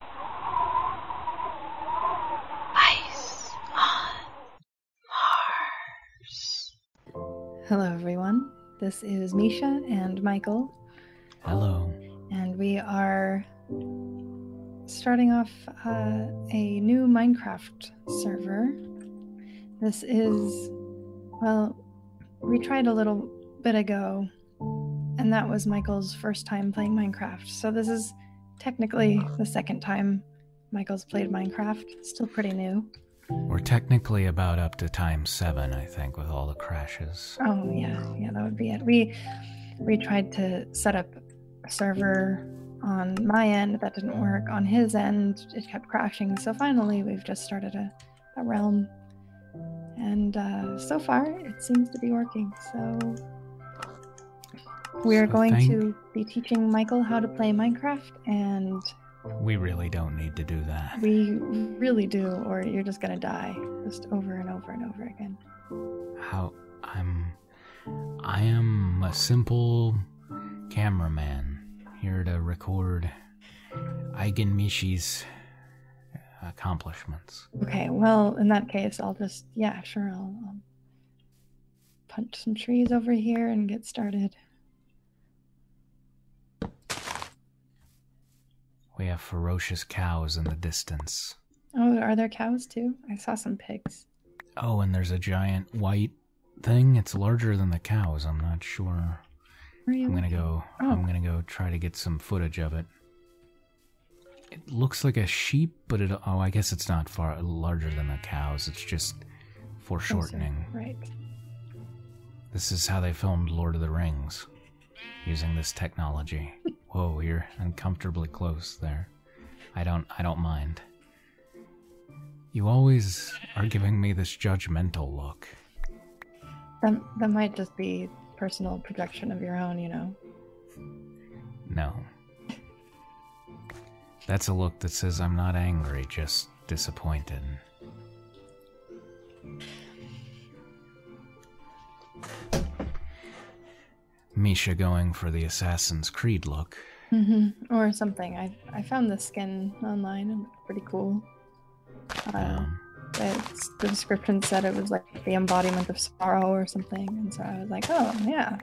Ice on Mars. Hello, everyone. This is Misha and Michael. Hello. And we are starting off uh, a new Minecraft server. This is, well, we tried a little bit ago and that was Michael's first time playing Minecraft. So this is technically the second time Michael's played Minecraft. still pretty new. We're technically about up to time seven, I think, with all the crashes. Oh yeah, yeah, that would be it. We we tried to set up a server on my end, that didn't work. On his end, it kept crashing. So finally, we've just started a realm and uh, so far, it seems to be working. So we are going to be teaching Michael how to play Minecraft, and we really don't need to do that. We really do, or you're just gonna die, just over and over and over again. How I'm, I am a simple cameraman here to record Eigen Mishi's accomplishments. Okay, well, in that case, I'll just, yeah, sure, I'll, um, punch some trees over here and get started. We have ferocious cows in the distance. Oh, are there cows too? I saw some pigs. Oh, and there's a giant white thing. It's larger than the cows. I'm not sure. I'm gonna go. I'm oh. gonna go try to get some footage of it. It looks like a sheep, but it oh, I guess it's not far larger than the cows. It's just foreshortening. Oh, right. This is how they filmed Lord of the Rings using this technology. Whoa, you're uncomfortably close there. I don't I don't mind. You always are giving me this judgmental look. That, that might just be personal projection of your own, you know. No. That's a look that says I'm not angry, just disappointed. Misha going for the Assassin's Creed look. Mm-hmm. Or something. I I found the skin online and it's pretty cool. Uh, um, it's, the description said it was like the embodiment of sorrow or something. And so I was like, oh, yeah.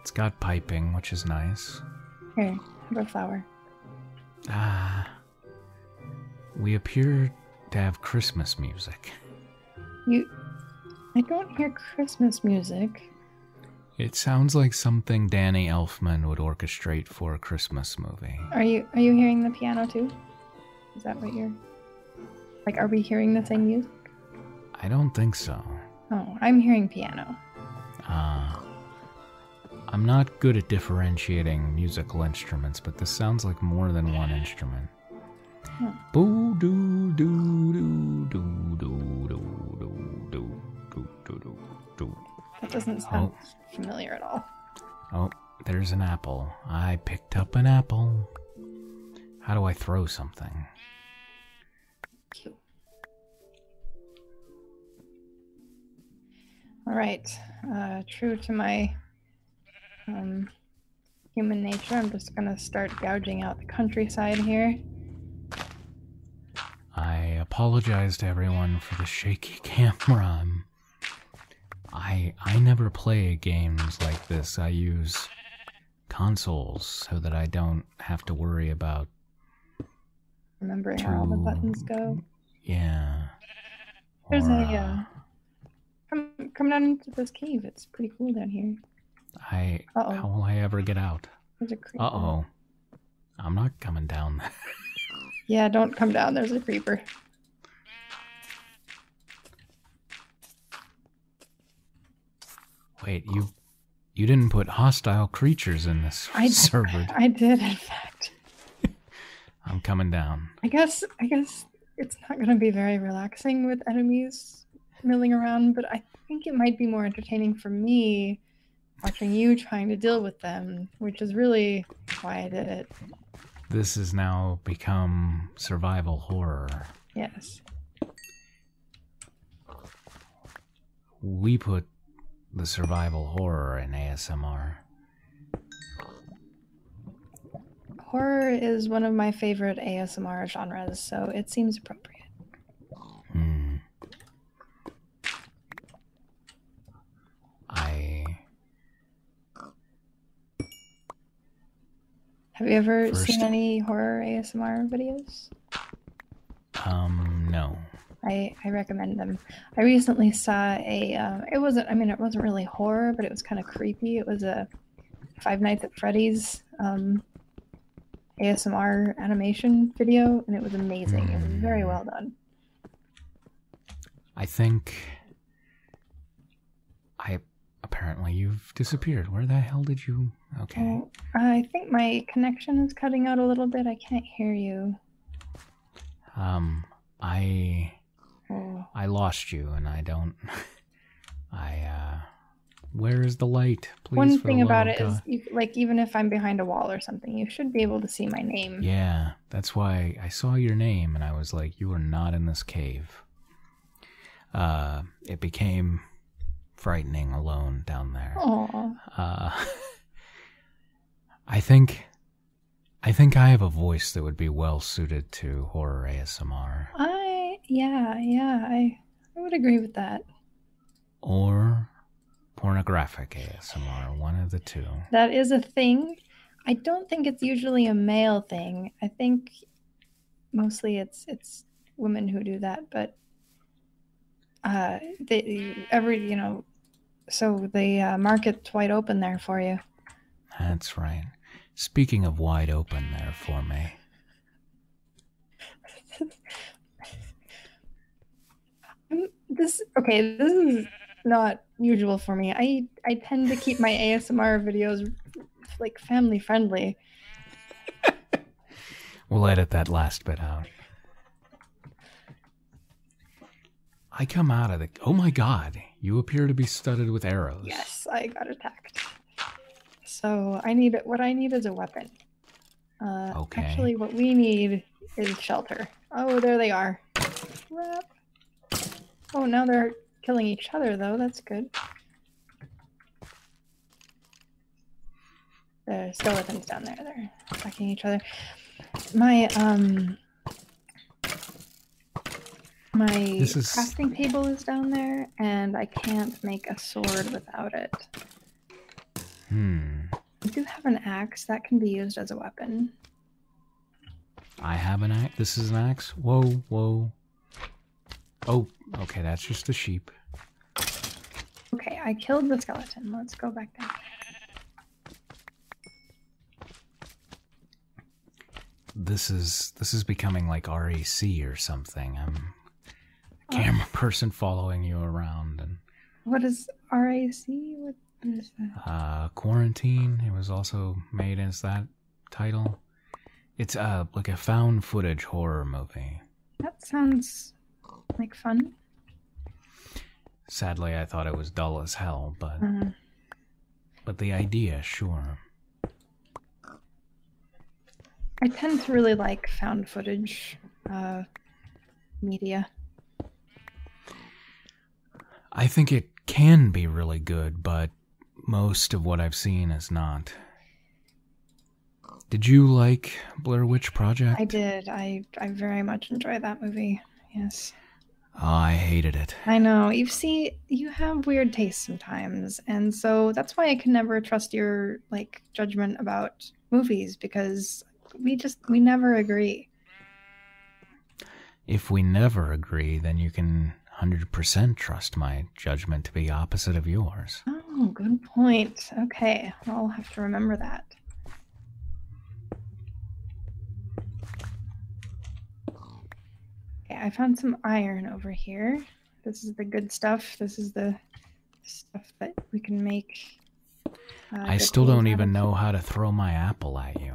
It's got piping, which is nice. Here, have a flower. Ah. We appear to have Christmas music. You. I don't hear Christmas music. It sounds like something Danny Elfman would orchestrate for a Christmas movie. Are you are you hearing the piano too? Is that what you're. Like, are we hearing the same music? I don't think so. Oh, I'm hearing piano. Uh, I'm not good at differentiating musical instruments, but this sounds like more than one instrument. Hmm. Boo doo doo doo doo doo doo doo doo doo doo doo. That doesn't sound oh. familiar at all. Oh, there's an apple. I picked up an apple. How do I throw something? Cute. All right. Uh, true to my um, human nature, I'm just gonna start gouging out the countryside here. I apologize to everyone for the shaky camera. I I never play games like this. I use consoles so that I don't have to worry about remembering too... where all the buttons go. Yeah. There's a uh, uh, come come down into this cave. It's pretty cool down here. I oh how will I ever get out? Uh oh. I'm not coming down. yeah, don't come down. There's a creeper. Wait, you you didn't put hostile creatures in this I, server. I did, in fact. I'm coming down. I guess I guess it's not going to be very relaxing with enemies milling around, but I think it might be more entertaining for me watching you trying to deal with them, which is really why I did it. This has now become survival horror. Yes. We put the survival horror in ASMR. Horror is one of my favorite ASMR genres, so it seems appropriate. Hmm. I have you ever seen any horror ASMR videos? Um, no. I, I recommend them. I recently saw a, um, it wasn't, I mean, it wasn't really horror, but it was kind of creepy. It was a Five Nights at Freddy's um, ASMR animation video, and it was amazing. It was very hmm. well done. I think I apparently you've disappeared. Where the hell did you? Okay. I think my connection is cutting out a little bit. I can't hear you. Um, I oh. I lost you, and I don't. I uh, where is the light? Please. One thing about it is, like, even if I'm behind a wall or something, you should be able to see my name. Yeah, that's why I saw your name and I was like, you are not in this cave. Uh, it became frightening alone down there. Uh, I think. I think I have a voice that would be well suited to horror ASMR. I yeah, yeah, I I would agree with that. Or pornographic ASMR, one of the two. That is a thing. I don't think it's usually a male thing. I think mostly it's it's women who do that, but uh, they every you know, so the uh, market's wide open there for you. That's right. Speaking of wide open there for me. this okay, this is not usual for me. I I tend to keep my ASMR videos like family friendly. we'll edit that last bit out. I come out of the. Oh my god, you appear to be studded with arrows. Yes, I got attacked. So I need what I need is a weapon. Uh, okay. Actually, what we need is shelter. Oh, there they are. Oh, now they're killing each other, though. That's good. The skeletons down there, they're attacking each other. My, um... My is... crafting table is down there, and I can't make a sword without it. Hmm. I do have an axe that can be used as a weapon. I have an axe. This is an axe. Whoa, whoa. Oh, okay, that's just the sheep. Okay, I killed the skeleton. Let's go back there. This is this is becoming like REC or something. I'm uh. camera person following you around and What is RAC? What uh, Quarantine. It was also made as that title. It's a uh, like a found footage horror movie. That sounds like fun. Sadly, I thought it was dull as hell, but uh-huh. but the idea, sure. I tend to really like found footage uh, media. I think it can be really good, but most of what I've seen is not. Did you like Blair Witch Project? I did. I I very much enjoyed that movie. Yes. Oh, I hated it. I know. You see, you have weird tastes sometimes, and so that's why I can never trust your like judgment about movies because we just we never agree. If we never agree, then you can 100% trust my judgment to be opposite of yours. Oh, good point. Okay, I'll have to remember that. Okay, I found some iron over here. This is the good stuff. This is the stuff that we can make. Uh, I still don't even know how to throw my apple at you.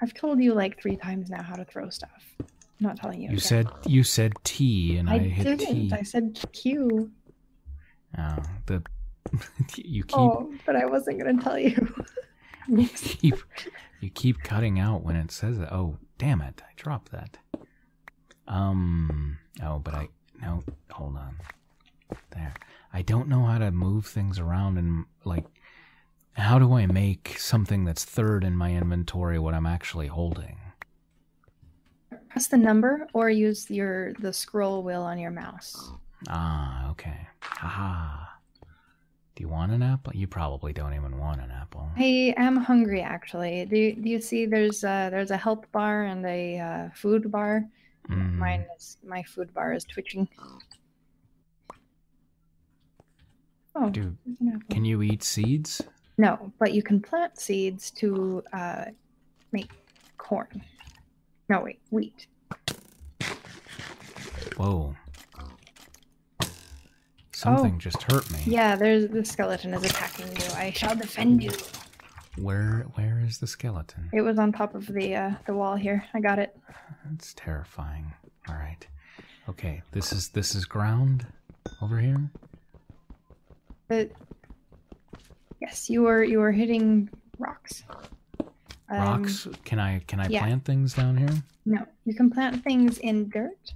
I've told you like three times now how to throw stuff. I'm not telling you. You said you said T, and I, I hit didn't. T. I said Q. Oh, the you keep. Oh, but I wasn't gonna tell you. you keep you keep cutting out when it says Oh, damn it! I dropped that. Um. Oh, but I no. Hold on. There. I don't know how to move things around and, like, how do I make something that's third in my inventory what I'm actually holding? Press the number or use your the scroll wheel on your mouse. Ah, okay. Aha. Do you want an apple? You probably don't even want an apple. I am hungry, actually. Do you, see? There's a, there's a health bar and a uh, food bar. Mm-hmm. Mine is my food bar is twitching. Oh, Dude, can you eat seeds? No, but you can plant seeds to uh, make corn. No, wait, wheat. Whoa. Something oh. just hurt me. Yeah, there's the skeleton is attacking you. I shall defend you. Where where is the skeleton? It was on top of the uh, the wall here. I got it it. That's terrifying. All right. Okay, this is this is ground over here. yes, you are you are hitting rocks. Um, rocks? can I can I plant things down here? No, you can plant things in dirt,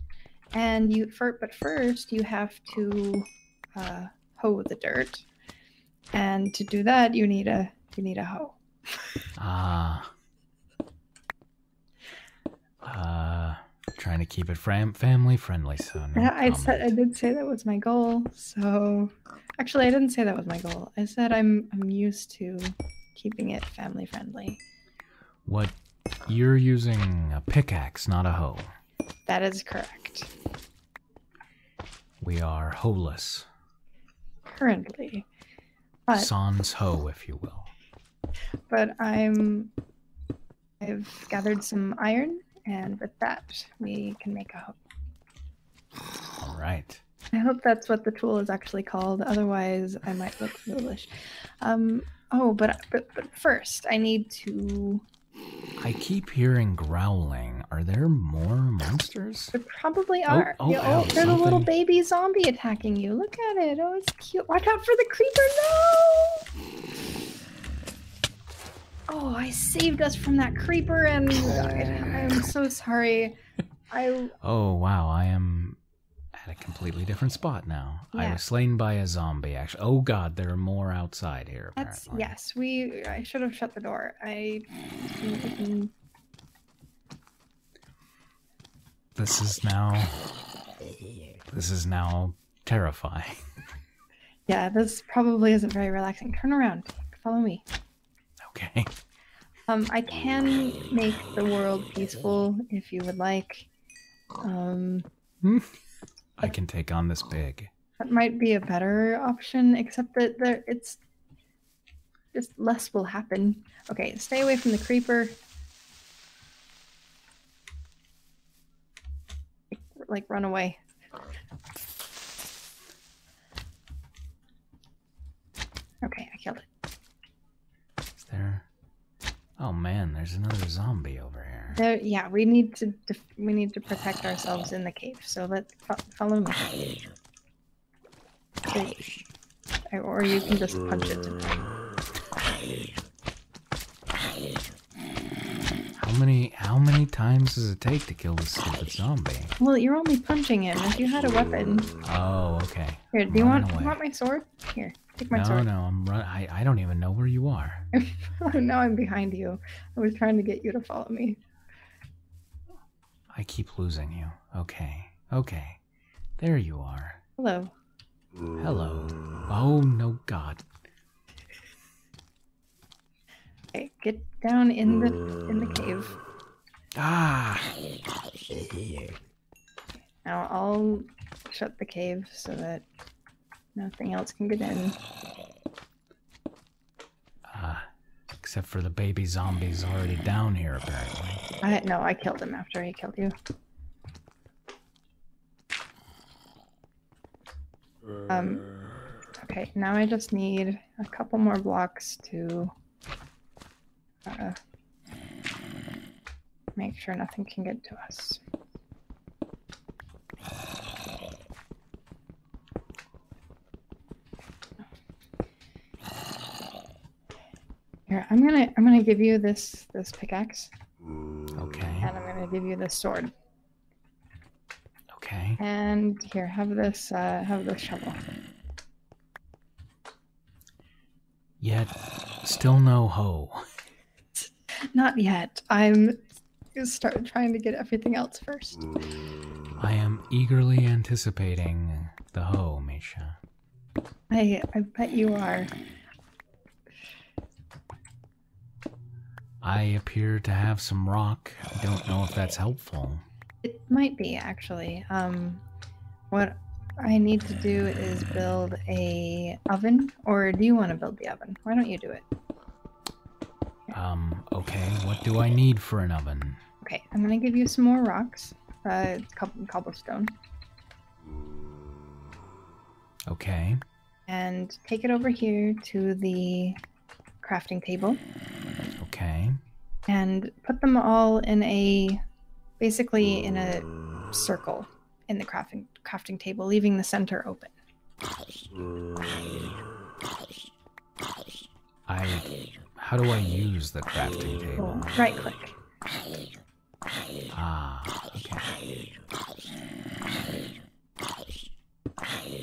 and you for but first you have to uh, hoe the dirt, and to do that, you need a you need a hoe. ah. Uh, trying to keep it fam- family friendly, son. I said I did say that was my goal. So, actually, I didn't say that was my goal. I said I'm I'm used to keeping it family friendly. What you're using a pickaxe, not a hoe. That is correct. We are holeless. Currently. Sans ho, if you will. But I'm. I've gathered some iron, and with that, we can make a hoe. All right. I hope that's what the tool is actually called. Otherwise, I might look foolish. Um, oh, but, but but first, I need to. I keep hearing growling. Are there more monsters? probably oh, are. Oh, oh, oh, oh there's a little baby zombie attacking you. Look at it. Oh, it's cute. Watch out for the creeper. No! Oh, I saved us from that creeper and I, I'm so sorry. I. Oh, wow. I am at a completely different spot now. Yeah. I was slain by a zombie. Actually, oh god, there are more outside here. That's yes. We I should have shut the door. I this is now. This is now terrifying. Yeah, this probably isn't very relaxing. Turn around. Follow me. Okay. Um, I can make the world peaceful if you would like. Um, hmm. I can take on this big. That might be a better option, except that there it's just less will happen. Okay, stay away from the creeper. Like, run away. Okay, I killed it. Is there... Oh man, there's another zombie over here. yeah, we need to we need to protect ourselves in the cave. So let's follow me. Or you can just punch it. How many how many times does it take to kill this stupid zombie? Well, you're only punching him. If you had a weapon. Oh, okay. Here, do you want want my sword? Here, take my sword. No, no, I'm run. I I don't even know where you are. now I'm behind you. I was trying to get you to follow me. I keep losing you. Okay. Okay. There you are. Hello. Hello. Oh no god. Okay, get down in the in the cave. Ah. Now I'll shut the cave so that nothing else can get in. Ah, except for the baby zombie's already down here, apparently. I no, I killed him after he killed you. Um. Okay, now I just need a couple more blocks to uh, make sure nothing can get to us. Here, I'm gonna I'm gonna give you this this pickaxe. Okay. And I'm gonna give you this sword. Okay. And here, have this uh, have this shovel. Yet, still no hoe. Not yet. I'm start trying to get everything else first. I am eagerly anticipating the hoe, Misha. I bet you are. I appear to have some rock. I don't know if that's helpful. It might be actually. Um, what I need to do is build a oven, or do you want to build the oven? Why don't you do it? Um, okay, what do I need for an oven? Okay, I'm gonna give you some more rocks. Uh, cobblestone. Okay. And take it over here to the crafting table. Okay. And put them all in a, basically in a circle in the crafting crafting table, leaving the center open. I. How do I use the crafting table? Right click. Ah,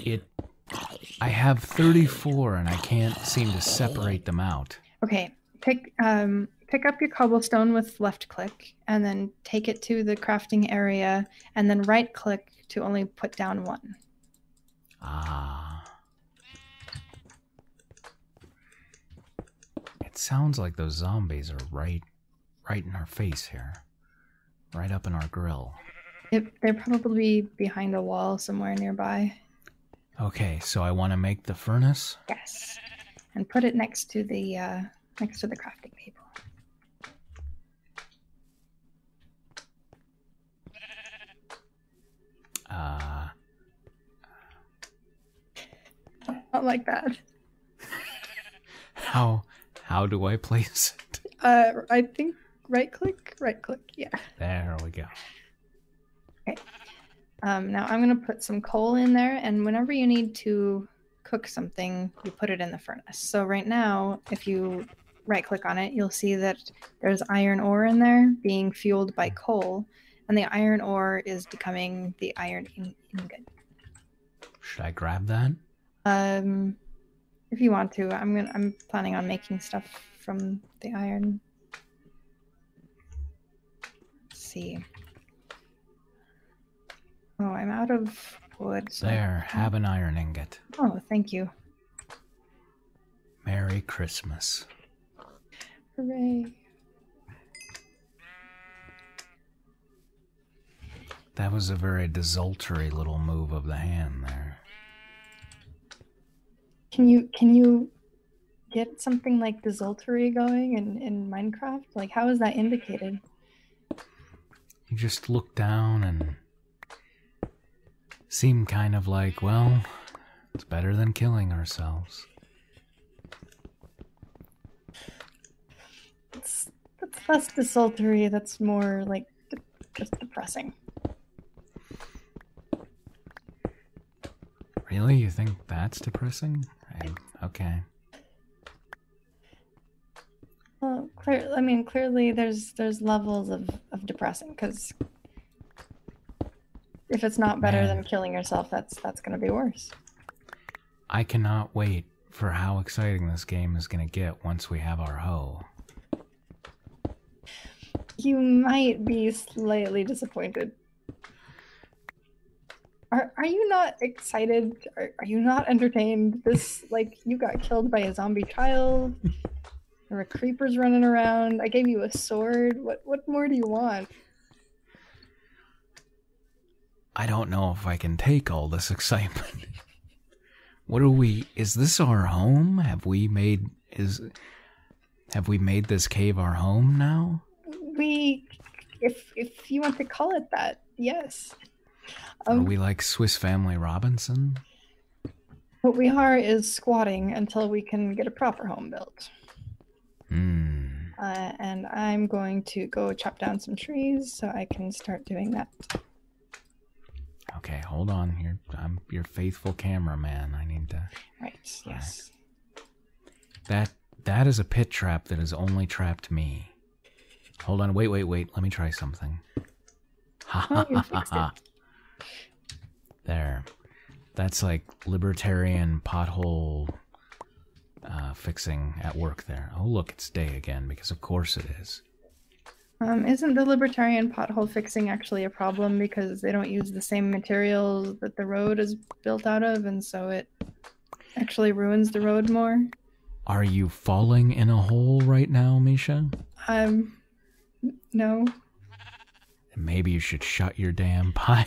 It. I have 34 and I can't seem to separate them out. Okay, pick um pick up your cobblestone with left click and then take it to the crafting area and then right click to only put down one. Ah. It sounds like those zombies are right right in our face here. Right up in our grill. Yep, they're probably behind a wall somewhere nearby. Okay, so I want to make the furnace? Yes. And put it next to the uh, next to the crafting table. Uh, Not like that. how how do I place it? Uh, I think right click, right click. Yeah. There we go. Okay. Um, now I'm gonna put some coal in there, and whenever you need to cook something, you put it in the furnace. So right now, if you right click on it, you'll see that there's iron ore in there being fueled by coal, and the iron ore is becoming the iron ingot. Should I grab that? Um, if you want to, I'm gonna. I'm planning on making stuff from the iron. Let's see. Oh, I'm out of wood. There, have an iron ingot. Oh, thank you. Merry Christmas. Hooray. That was a very desultory little move of the hand there. Can you can you get something like desultory going in, in Minecraft? Like how is that indicated? You just look down and seem kind of like, well, it's better than killing ourselves. It's, that's less desultory, that's more like just depressing. Really? You think that's depressing? okay. Well, clear. I mean, clearly there's there's levels of of depressing because if it's not better than killing yourself, that's that's gonna be worse. I cannot wait for how exciting this game is gonna get once we have our hoe. You might be slightly disappointed. Are are you not excited? are you not entertained? This like you got killed by a zombie child. There are creepers running around. I gave you a sword. What what more do you want? I don't know if I can take all this excitement. what are we is this our home? Have we made is have we made this cave our home now? We if if you want to call it that, yes. are um, we like Swiss Family Robinson? What we are is squatting until we can get a proper home built. Hmm. Uh, and I'm going to go chop down some trees so I can start doing that. Okay, hold on. you I'm your faithful cameraman. I need to. Right. Yes. That that is a pit trap that has only trapped me. Hold on. Wait, wait, wait. Let me try something. Ha ha ha There. That's like libertarian pothole uh, fixing at work there. Oh, look, it's day again because, of course, it is. Um, isn't the libertarian pothole fixing actually a problem because they don't use the same materials that the road is built out of, and so it actually ruins the road more? Are you falling in a hole right now, Misha? I'm um, no. Maybe you should shut your damn pile.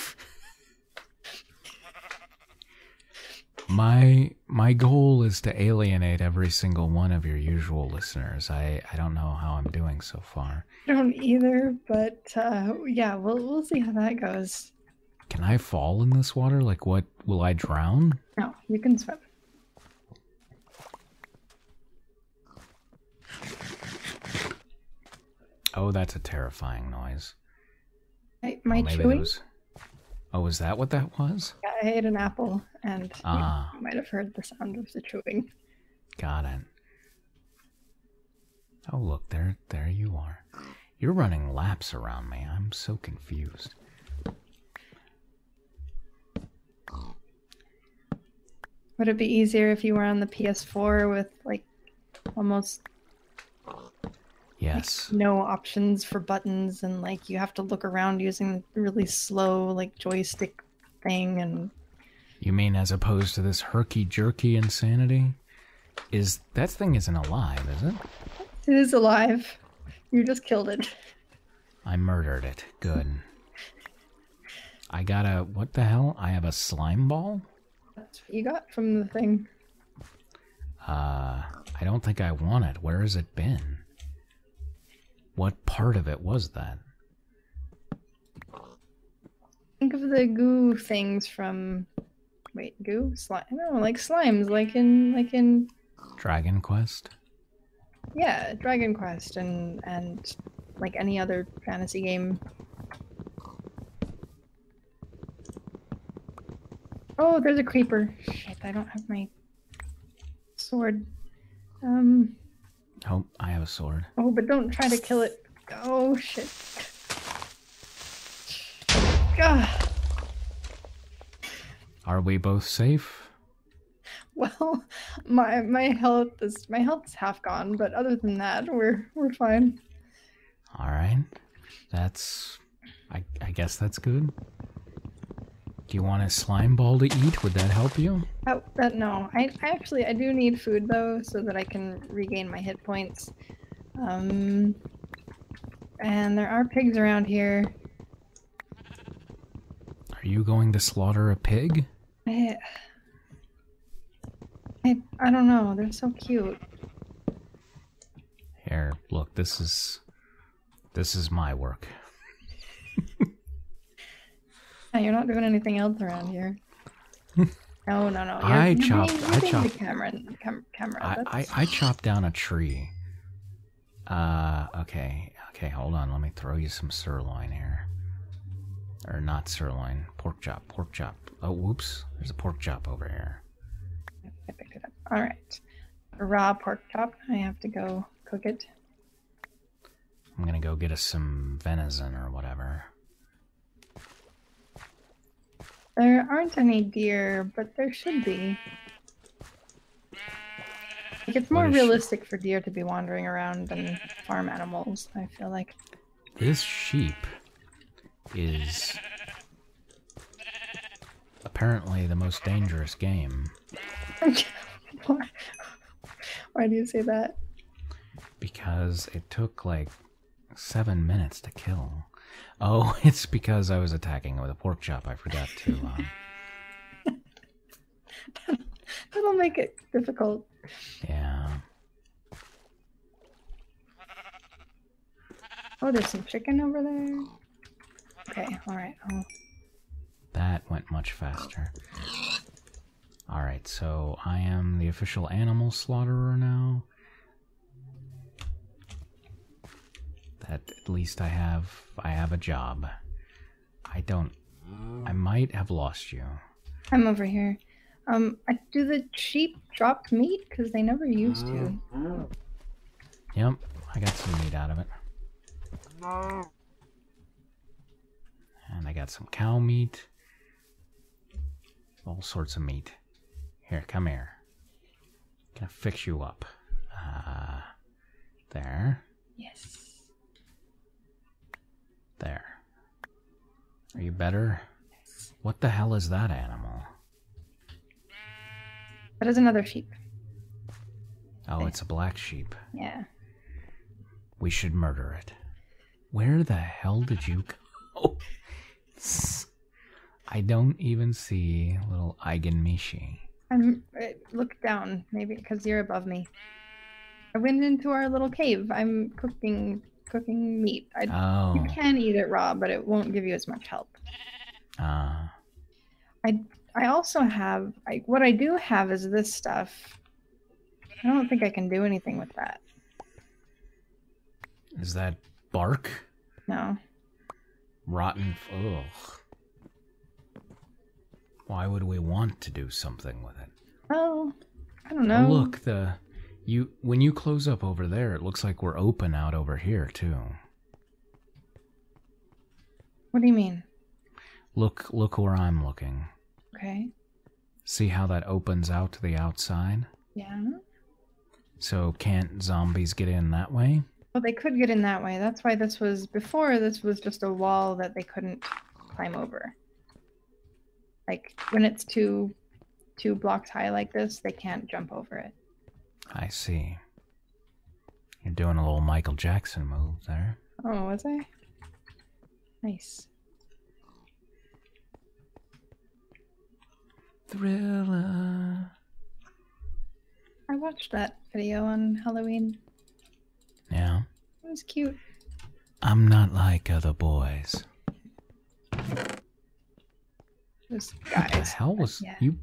my my goal is to alienate every single one of your usual listeners. I I don't know how I'm doing so far. I don't either, but uh, yeah, we'll we'll see how that goes. Can I fall in this water? Like, what? Will I drown? No, you can swim. Oh, that's a terrifying noise. my oh, chewing. Oh, is that what that was? I ate an apple, and ah. you might have heard the sound of the chewing. Got it. Oh, look there! There you are. You're running laps around me. I'm so confused. Would it be easier if you were on the PS4 with like almost Yes. no options for buttons and like you have to look around using the really slow like joystick thing and You mean as opposed to this herky jerky insanity? Is that thing isn't alive, is it? It is alive. You just killed it. I murdered it. Good. I got a. What the hell? I have a slime ball? That's what you got from the thing. Uh, I don't think I want it. Where has it been? What part of it was that? Think of the goo things from Wait, goo? Slime? No, like slimes, like in like in Dragon Quest. Yeah, Dragon Quest and and like any other fantasy game. Oh, there's a creeper. Shit, I don't have my sword. Um. Oh, I have a sword. Oh, but don't try to kill it. Oh shit. God. Are we both safe? Well, my my health is my health's half gone, but other than that, we're we're fine. All right, that's I I guess that's good. Do you want a slime ball to eat? Would that help you? Oh, uh, no. I, I actually I do need food though, so that I can regain my hit points. Um, and there are pigs around here. Are you going to slaughter a pig? I, I, don't know. They're so cute. Here, look. This is this is my work. you're not doing anything else around here. No, no, no. I you chopped. I chopped. Cameron, I, I, I chopped down a tree uh, okay, okay, hold on. Let me throw you some sirloin here. Or not sirloin, pork chop, pork chop. Oh, whoops, there's a pork chop over here. I picked it up. All right. Raw pork chop. I have to go cook it. I'm gonna go get us some venison or whatever. There aren't any deer, but there should be. it's more realistic for deer to be wandering around than farm animals, I feel like. This sheep is apparently the most dangerous game. Why do you say that? Because it took like seven minutes to kill. Oh, it's because I was attacking with a pork chop. I forgot to. Um, That'll make it difficult. Yeah. Oh, there's some chicken over there. Okay, alright. That went much faster. Alright, so I am the official animal slaughterer now. That at least I have I have a job. I don't I might have lost you. I'm over here. Um, do the sheep drop meat? Because they never used to. Yep, I got some meat out of it. And I got some cow meat. All sorts of meat. Here, come here gonna fix you up. Uh, there. Yes. There. Are you better? Yes. What the hell is that animal? That is another sheep. Oh, it's a black sheep. Yeah. We should murder it. Where the hell did you go? I don't even see little Eigenmishi. I'm eh, look down, maybe because you're above me. I went into our little cave. I'm cooking cooking meat. I, oh. You can eat it raw, but it won't give you as much help. Ah. I I also have what I do have is this stuff. I don't think I can do anything with that. Is that bark? No. Rotten. Ugh. Why would we want to do something with it? Oh, I don't know. look, the you when you close up over there, it looks like we're open out over here too. What do you mean? Look, look where I'm looking. Okay. See how that opens out to the outside? Yeah. So can't zombies get in that way? Well, they could get in that way. That's why this was before. This was just a wall that they couldn't climb over. Like when it's two, two blocks high like this, they can't jump over it. I see. You're doing a little Michael Jackson move there. Oh, was I? Nice. Thriller. I watched that video on Halloween. Yeah. It was cute. I'm not like other boys. Just What the hell was you?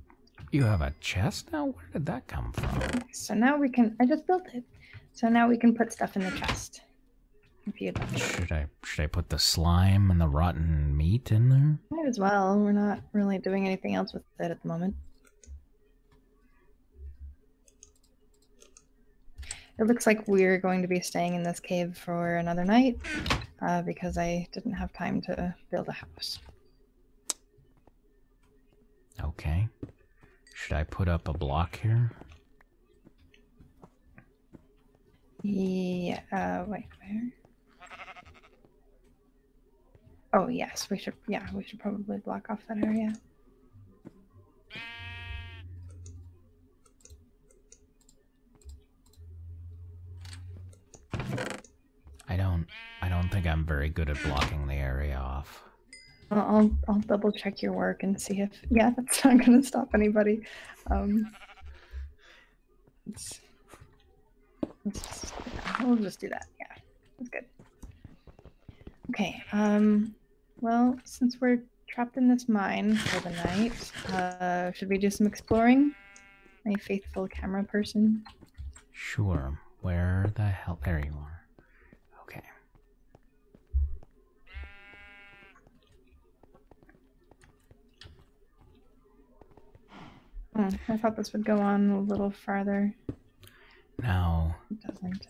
You have a chest now? Where did that come from? So now we can. I just built it. So now we can put stuff in the chest. If Should I? Should I put the slime and the rotten meat in there? Might as well. We're not really doing anything else with it at the moment. It looks like we're going to be staying in this cave for another night uh, because I didn't have time to build a house. Okay. Should I put up a block here? Yeah, uh, wait, where? Oh yes, we should. Yeah, we should probably block off that area. I don't. I don't think I'm very good at blocking the area off. I'll I'll double check your work and see if yeah that's not gonna stop anybody. Um, Let's, let's, we'll just do that. Yeah, that's good. Okay. Um. Well, since we're trapped in this mine for the night, uh, should we do some exploring? My faithful camera person. Sure. Where the hell? There you are. Okay. Hmm, I thought this would go on a little farther. No, it doesn't.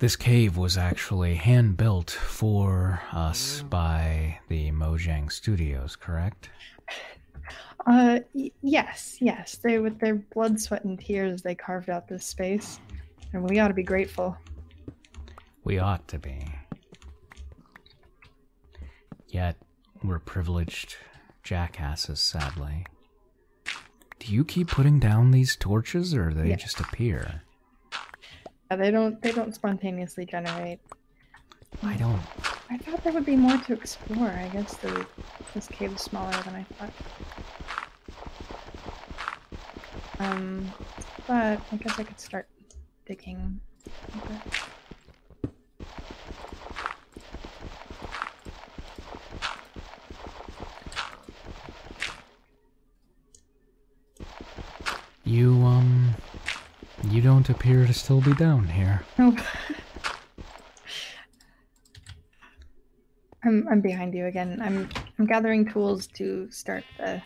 This cave was actually hand built for us mm. by the Mojang Studios, correct? Uh, yes, yes. They, with their blood, sweat, and tears, they carved out this space, and we ought to be grateful. We ought to be. Yet, we're privileged jackasses, sadly. Do you keep putting down these torches, or they just appear? Yeah, they don't. They don't spontaneously generate. I don't. I thought there would be more to explore. I guess the this cave is smaller than I thought. Um, but I guess I could start digging. Okay. You, um, you don't appear to still be down here. Oh. I'm, I'm behind you again. I'm, I'm gathering tools to start the,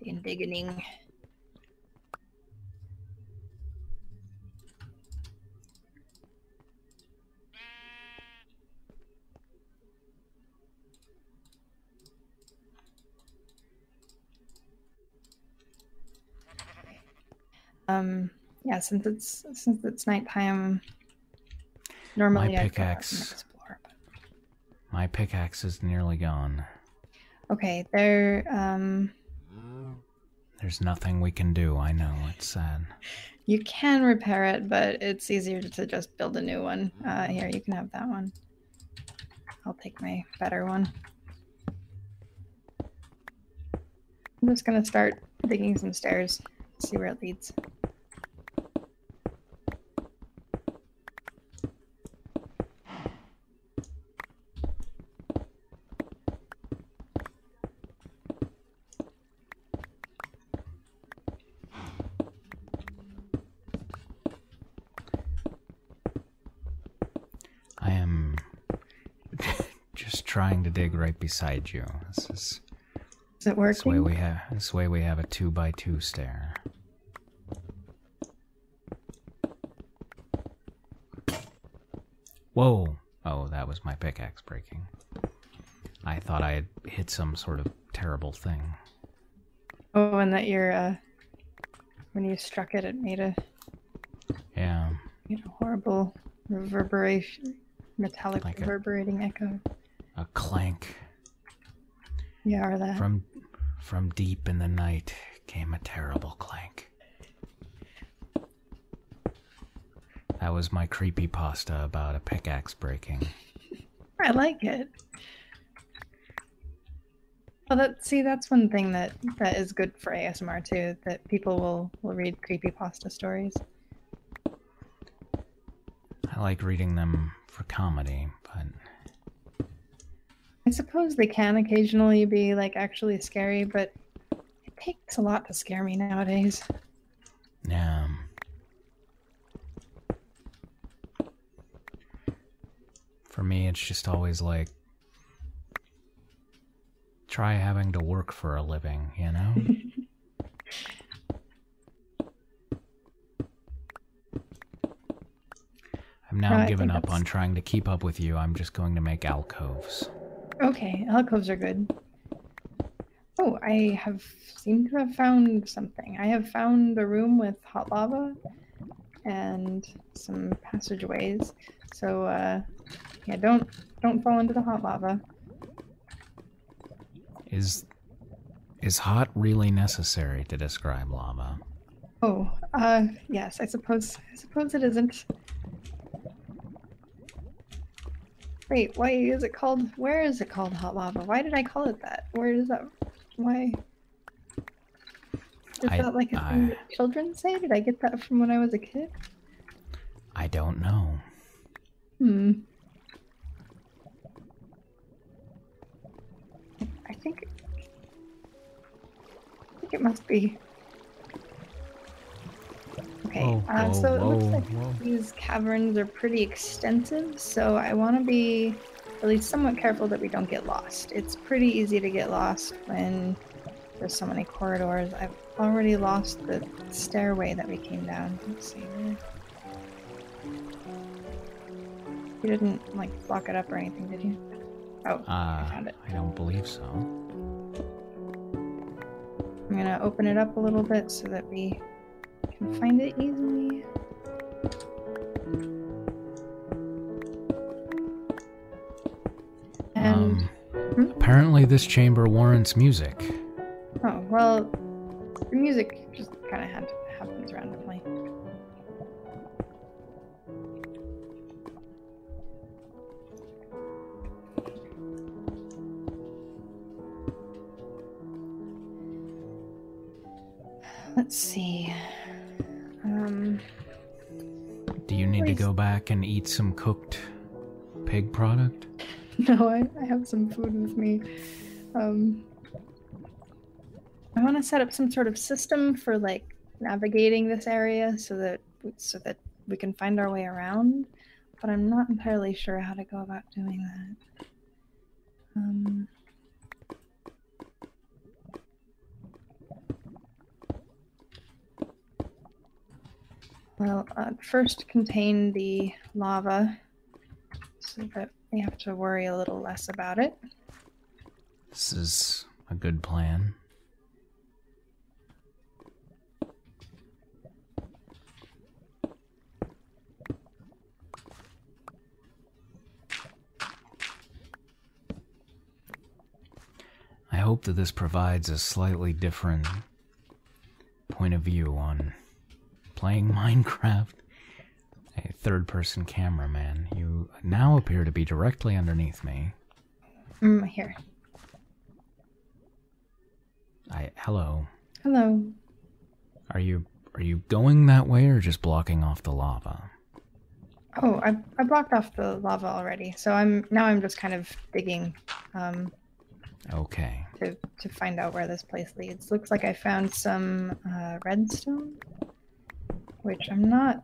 the indigging. Um, yeah, since it's since it's nighttime, normally my pickaxe. explore, My pickaxe is nearly gone. Okay, there. Um, There's nothing we can do. I know it's sad. You can repair it, but it's easier to just build a new one. Uh, here, you can have that one. I'll take my better one. I'm just gonna start digging some stairs, see where it leads. I am just trying to dig right beside you. This is. Is it working? This way we have. This way we have a two by two stair. Whoa! Oh, that was my pickaxe breaking. I thought I had hit some sort of terrible thing. Oh, and that your uh, when you struck it, it made a yeah, you know, horrible reverberation, metallic reverberating echo. A clank. From from deep in the night came a terrible clank. That was my creepy pasta about a pickaxe breaking. I like it. Well, that see, that's one thing that that is good for ASMR too. That people will will read creepy pasta stories. I like reading them for comedy, but I suppose they can occasionally be like actually scary, but it takes a lot to scare me nowadays. Yeah. For me, it's just always like try having to work for a living, you know? I'm now giving up on trying to keep up with you. I'm just going to make alcoves. Okay, alcoves are good. Oh, I have seemed to have found something. I have found a room with hot lava and some passageways. So uh yeah, don't don't fall into the hot lava. Is is hot really necessary to describe lava? Oh, uh, yes, I suppose, I suppose it isn't. Wait, why is it called, where is it called hot lava? Why did I call it that? Where is that, why? Is that like a I, thing children say? Did I get that from when I was a kid? I don't know. Hmm. I think, I think it must be. Okay, uh, so it looks like these caverns are pretty extensive, so I want to be at least somewhat careful that we don't get lost. It's pretty easy to get lost when there's so many corridors. I've already lost the stairway that we came down. You didn't, like, lock it up or anything, did you? Oh, uh, I don't believe so. I'm gonna open it up a little bit so that we can find it easily. um, hmm? Apparently this chamber warrants music. Oh, well, music just kind of happens randomly. Let's see. Um, Do you need to go back and eat some cooked pig product? No, I, have some food with me. Um, I want to set up some sort of system for like navigating this area so that so that we can find our way around, but I'm not entirely sure how to go about doing that. Um, well, uh, first contain the lava so that we have to worry a little less about it. This is a good plan. I hope that this provides a slightly different point of view on playing Minecraft a third person cameraman. You now appear to be directly underneath me. Mm, here. I hello. Hello. Are you are you going that way or just blocking off the lava? Oh, I I blocked off the lava already. So I'm now I'm just kind of digging um Okay. To to find out where this place leads. Looks like I found some uh redstone. Which I'm not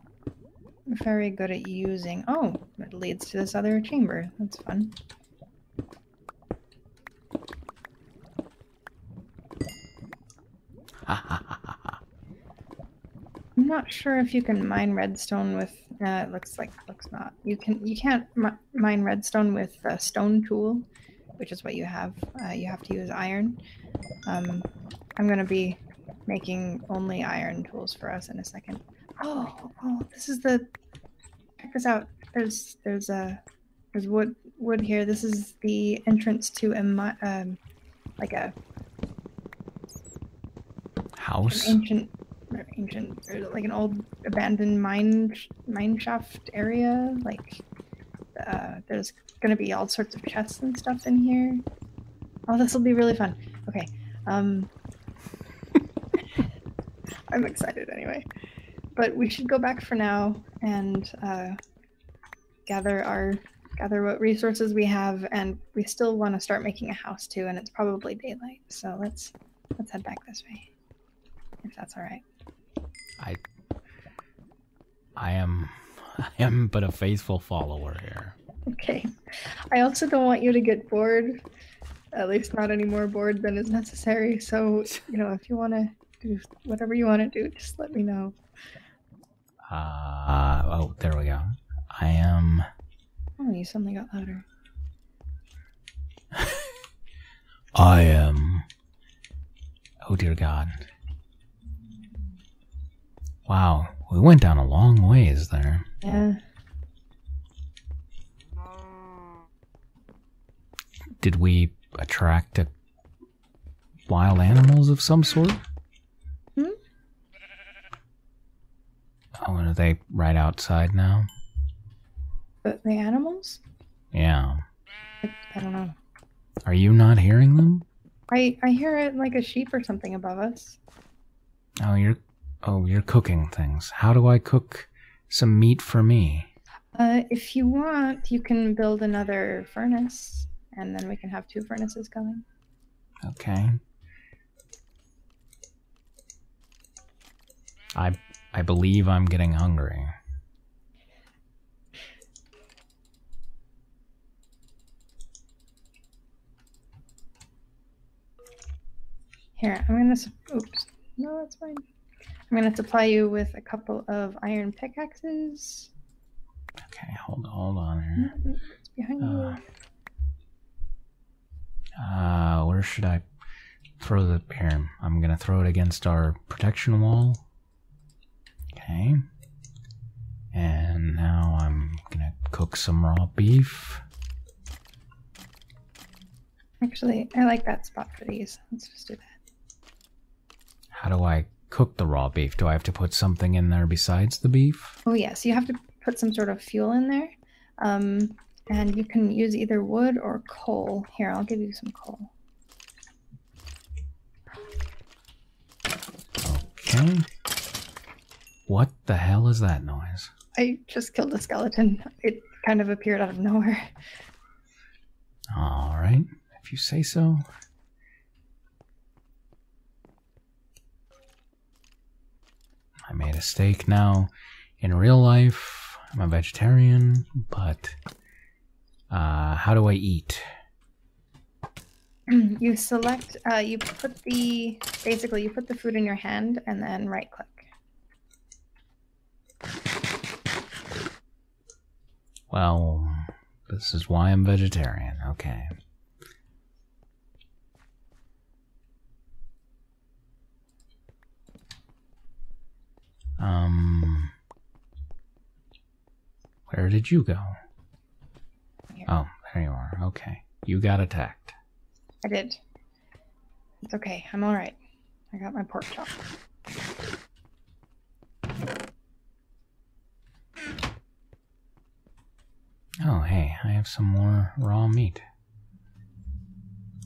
very good at using. Oh, it leads to this other chamber. That's fun. I'm not sure if you can mine redstone with. it looks like looks not. You can you can't mine redstone with a stone tool, which is what you have. Uh, you have to use iron. Um, I'm gonna be making only iron tools for us in a second. Oh, oh, this is the. Check this out. There's there's a uh, there's wood wood here. This is the entrance to a um like a house. ancient, ancient, like an old abandoned mine mine shaft area. Like uh, there's there's gonna be all sorts of chests and stuff in here. Oh, this will be really fun. Okay. Um, I'm excited anyway. But we should go back for now and uh, gather our gather what resources we have, and we still want to start making a house too. And it's probably daylight, so let's let's head back this way, if that's all right. I I am I am but a faithful follower here. Okay. I also don't want you to get bored. At least not any more bored than is necessary. So, you know, if you want to do whatever you want to do, just let me know. Uh, oh, there we go. I am. Oh, you suddenly got louder. I am. Oh, dear God. Wow, we went down a long ways there. Yeah. Did we attract wild animals of some sort? Hmm? Oh, are they right outside now? The, animals? Yeah. I don't know. Are you not hearing them? I I hear it like a sheep or something above us. Oh, you're oh you're cooking things. How do I cook some meat for me? Uh, if you want, you can build another furnace, and then we can have two furnaces going. Okay. I I believe I'm getting hungry. Here, I'm gonna, oops, no, that's fine. I'm gonna supply you with a couple of iron pickaxes. Okay, hold, hold on mm-hmm, behind uh, uh, where should I throw the here? I'm gonna throw it against our protection wall. Okay. And now I'm gonna cook some raw beef. Actually, I like that spot for these. Let's just do that. How do I cook the raw beef? Do I have to put something in there besides the beef? Oh, yes. You have to put some sort of fuel in there. Um, and you can use either wood or coal. Here, I'll give you some coal. Okay. What the hell is that noise? I just killed a skeleton. It kind of appeared out of nowhere. All right. If you say so. I made a steak now. In real life, I'm a vegetarian, but uh, how do I eat? You select, uh, you put the, basically, you put the food in your hand and then right click. Well, this is why I'm vegetarian. Okay. Um, where did you go? Oh, there you are. Okay. You got attacked. I did. It's okay. I'm all right. I got my pork chop. Oh, hey, I have some more raw meat.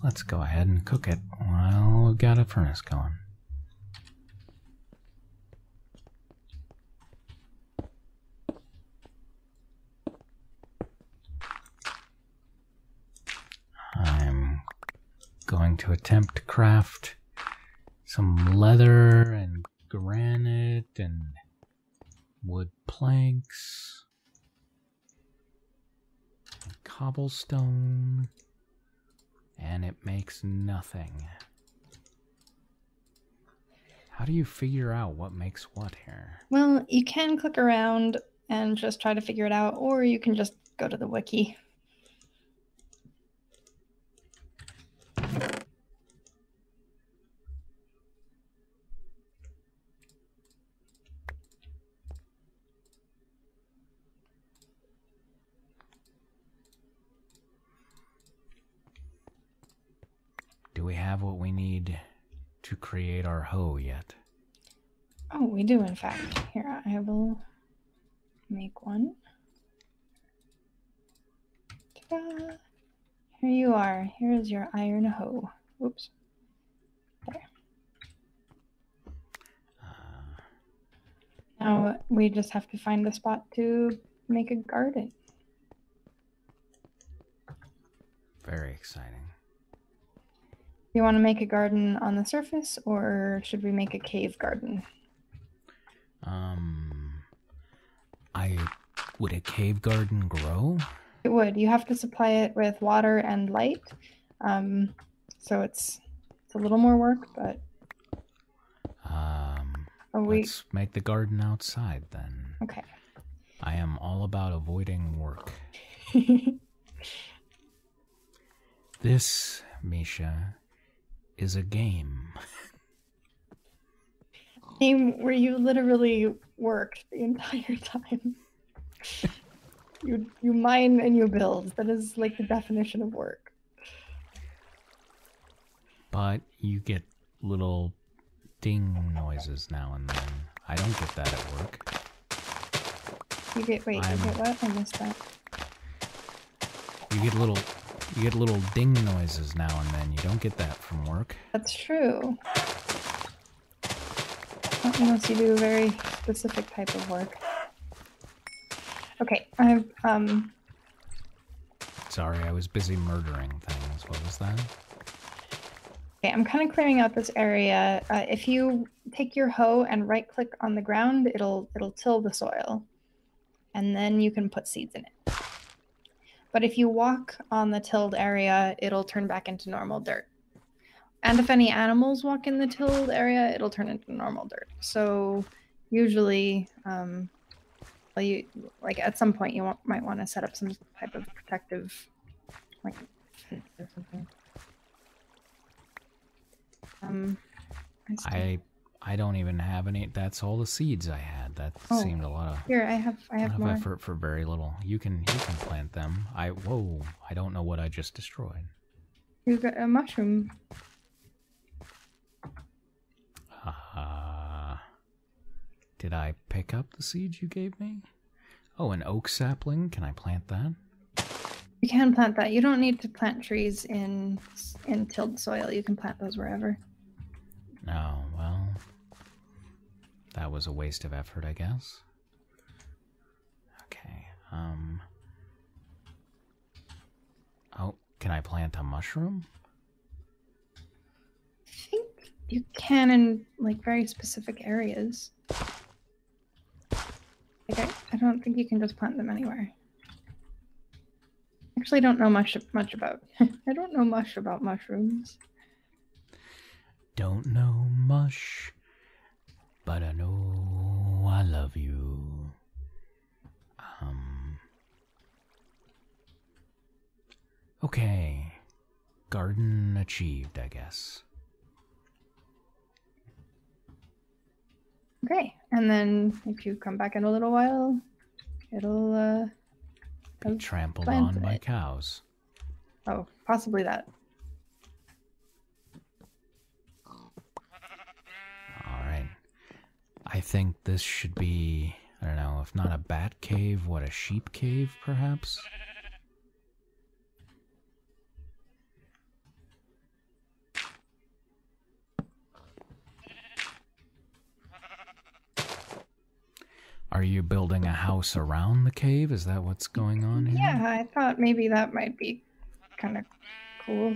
Let's go ahead and cook it while we've got a furnace going. I'm going to attempt to craft some leather and granite and wood planks, cobblestone. And it makes nothing. How do you figure out what makes what here? Well, you can click around and just try to figure it out, or you can just go to the wiki. Do we have what we need to create our hoe yet? Oh, we do, in fact. Here, I will make one. Here you are. Here is your iron hoe. Oops. There now we just have to find a spot to make a garden. Very exciting. Do you want to make a garden on the surface, or should we make a cave garden? Um, I would a cave garden grow? It would. You have to supply it with water and light, um, so it's it's a little more work, but um, let's make the garden outside then. Okay. I am all about avoiding work. this, Misha, is a game. Game where you literally work the entire time. you you mine and you build. That is like the definition of work. But you get little ding noises now and then. I don't get that at work. You get wait, you get what? I missed that. You get little you get little ding noises now and then. You don't get that from work. That's true. unless you do a very specific type of work. Okay, I've um Sorry, I was busy murdering things. What was that? Okay, I'm kind of clearing out this area. Uh, if you take your hoe and right click on the ground, it'll it'll till the soil. And then you can put seeds in it. But if you walk on the tilled area, it'll turn back into normal dirt. And if any animals walk in the tilled area, it'll turn into normal dirt. So usually um, well, you like at some point you might want to set up some type of protective like or something. Um, I I don't even have any. That's all the seeds I had. That oh, seemed a lot of here. I have I have more. effort for very little. You can you can plant them. I whoa! I don't know what I just destroyed. You got a mushroom. Ah. did I pick up the seed you gave me? Oh, an oak sapling. Can I plant that? You can plant that. You don't need to plant trees in in tilled soil. You can plant those wherever. Oh, well. That was a waste of effort, I guess. Okay. Um Oh, can I plant a mushroom? I think you can in like very specific areas. Like I, don't think you can just plant them anywhere. Actually, don't know much much about. I don't know much about mushrooms. Don't know mush, but I know I love you. Um. Okay. Garden achieved, I guess. Okay, and then if you come back in a little while, it'll uh, be trampled on by cows. Oh, possibly that. Alright. I think this should be, I don't know, if not a bat cave, what, a sheep cave, perhaps? Are you building a house around the cave? Is that what's going on here? Yeah, I thought maybe that might be kind of cool.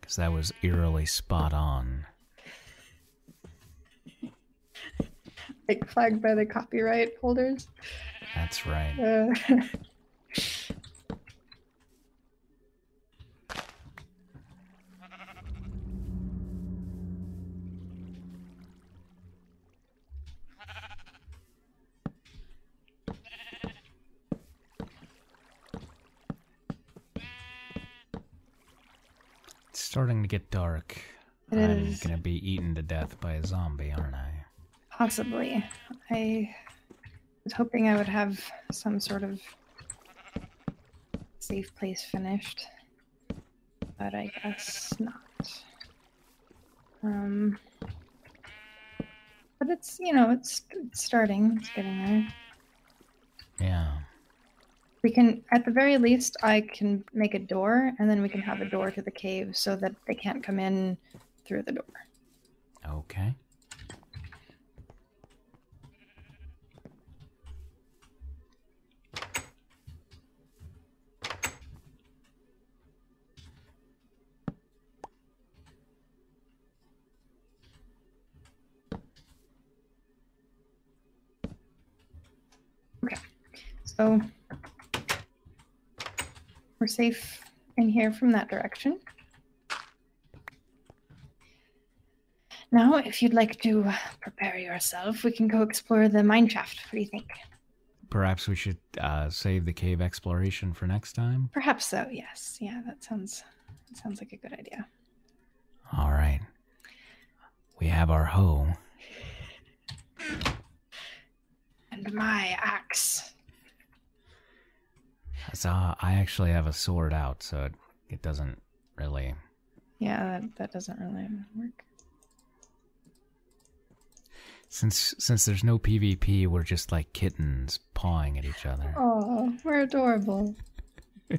Because that was eerily spot on. Like flagged by the copyright holders. That's right. Uh, it's starting to get dark. It I'm gonna be eaten to death by a zombie, aren't I? Possibly. I was hoping I would have some sort of safe place finished, but I guess not. Um, but it's you know it's starting. It's getting there. Yeah. We can, at the very least, I can make a door, and then we can have a door to the cave so that they can't come in through the door. Okay. Okay, so we're safe in here from that direction. Now, if you'd like to prepare yourself, we can go explore the mine shaft. What do you think? Perhaps we should uh, save the cave exploration for next time. Perhaps so. Yes. Yeah, that sounds that sounds like a good idea. All right. We have our hoe. And my axe. So I actually have a sword out, so it, it doesn't really. Yeah, that, that doesn't really work. Since since there's no PvP, we're just like kittens pawing at each other. Oh, we're adorable.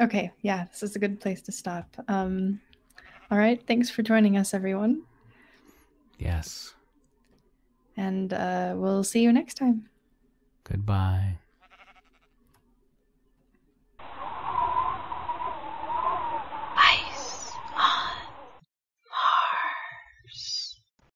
okay, yeah, this is a good place to stop. Um, all right, thanks for joining us, everyone. Yes. And uh, we'll see you next time. Goodbye. Ice on Mars.